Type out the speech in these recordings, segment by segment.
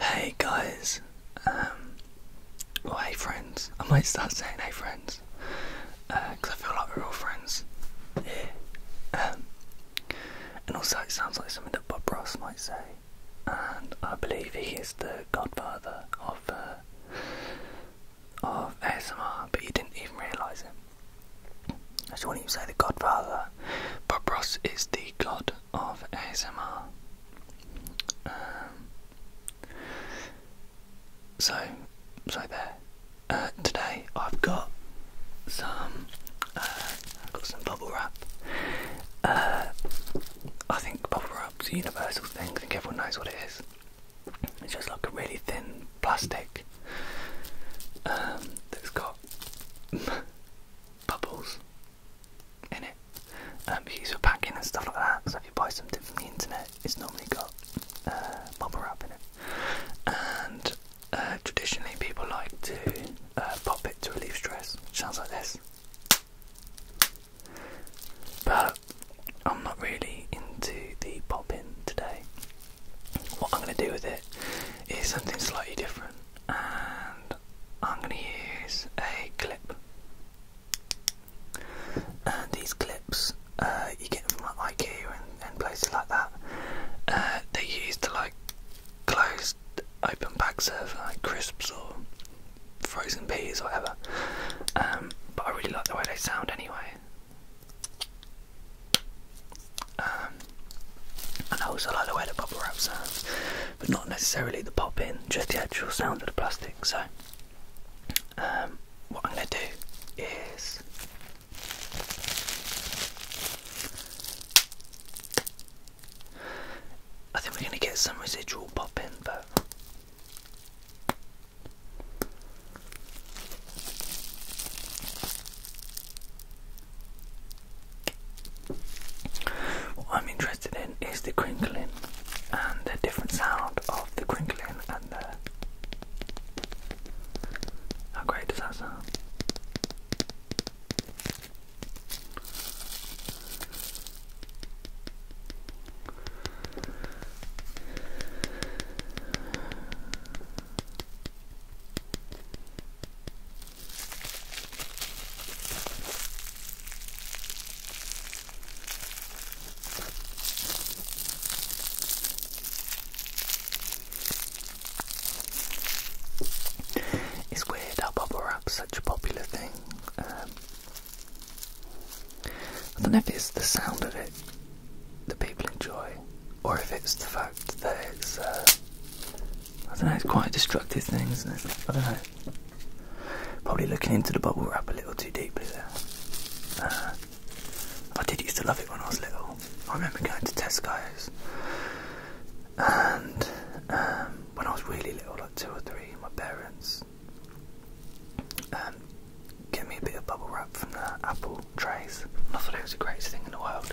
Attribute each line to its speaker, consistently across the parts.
Speaker 1: Hey guys, or um, hey friends. I might start saying hey friends, because uh, I feel like we're all friends um, and also, it sounds like something that Bob Ross might say, and I believe he is the godfather of uh, of ASMR, but you didn't even realise it. I So when you say the Godfather, Bob Ross is the god of ASMR. Um, so, so there. Uh, today I've got some, uh, I've got some bubble wrap. Uh, I think bubble wrap's a universal thing. I think everyone knows what it is. It's just like a really thin plastic um, that's got bubbles in it. Um, if for packing and stuff like that, so if you buy something from the internet, it's normally got uh, bubble wrap in it. And uh, traditionally, people like to uh, pop it to relieve stress, which sounds like this. But I'm not really into the popping today what I'm going to do with it is something slightly different, and I'm going to use a clip. And these clips uh, you get them from IKEA and, places like that. Uh, They're used to like closed open bag of like crisps or frozen peas or whatever. Um, but I really like the way they sound anyway. Um, I also like the way the bubble wrap sounds, but not necessarily the popping. just the actual sound of the plastic. So, um, what I'm going to do is I think we're going to get some residual popping, but what I'm interested in is the crinkling and the different sound of the crinkling and the. How great does that sound? It's weird how bubble wrap's such a popular thing. Um, I don't know if it's the sound of it the people enjoy, or if it's the fact that it's, uh, I don't know, it's quite destructive things. I don't know. Probably looking into the bubble wrap a little too deeply there. Uh, I did used to love it when I was little. I remember going to Tesco's, and um, when I was really little, like two or three, my parents. Um, Get me a bit of bubble wrap from the apple trays. I thought it was the greatest thing in the world.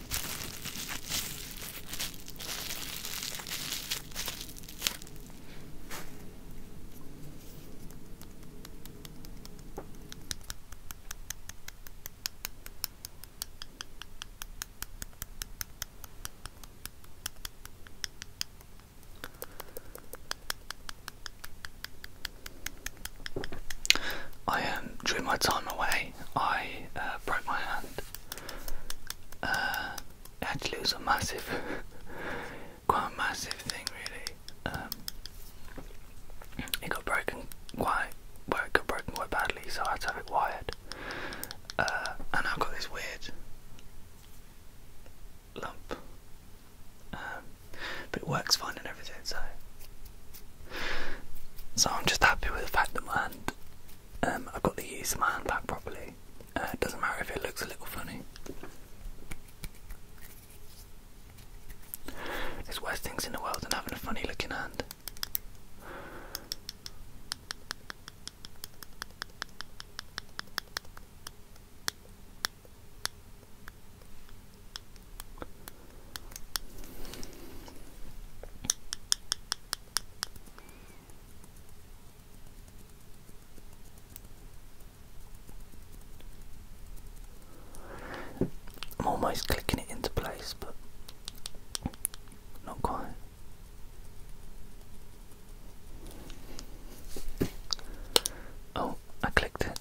Speaker 1: I um, during my time away, I uh, broke my hand actually, it was a massive, quite a massive thing, really. Um, it got broken quite, well, it got broken quite badly, so I had to have it wired. Uh, and I've got this weird lump, um, but it works fine and everything. So, so I'm just happy with the fact that my hand um, I've got the use of my hand back properly. Uh, it doesn't matter if it looks a little funny. There's worse things in the world than having a funny looking hand. I'm almost clicking it into place, but not quite. Oh, I clicked it.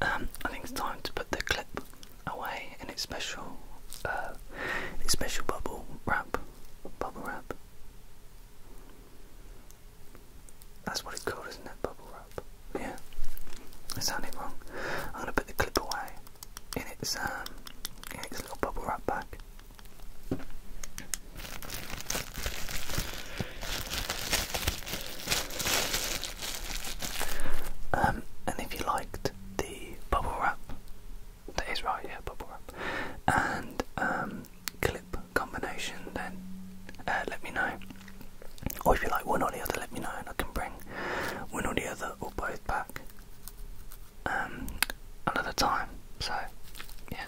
Speaker 1: Um, I think it's time to put the clip away in its special, uh, its special bubble wrap, bubble wrap. That's what it's called, isn't it? Bubble wrap. Yeah. I sounded wrong. I'm gonna put the clip away in its um in its little bubble wrap bag. Um, and if you liked the bubble wrap, that is right, yeah, bubble wrap, and um, clip combination, then uh, let me know. Or if you like one or the other, let me know, and I can bring one or the other or both back um, another time. So, yeah.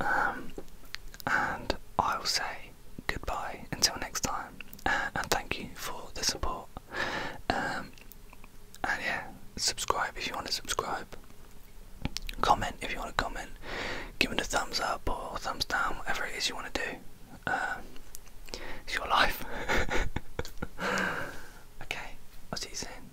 Speaker 1: Um, and I will say goodbye until next time, uh, and thank you for the support. Um, and yeah, subscribe if you want to subscribe. Comment if you want to comment. Give it a thumbs up or thumbs down, whatever it is you want to do. Um, it's your life. okay, I'll see you soon.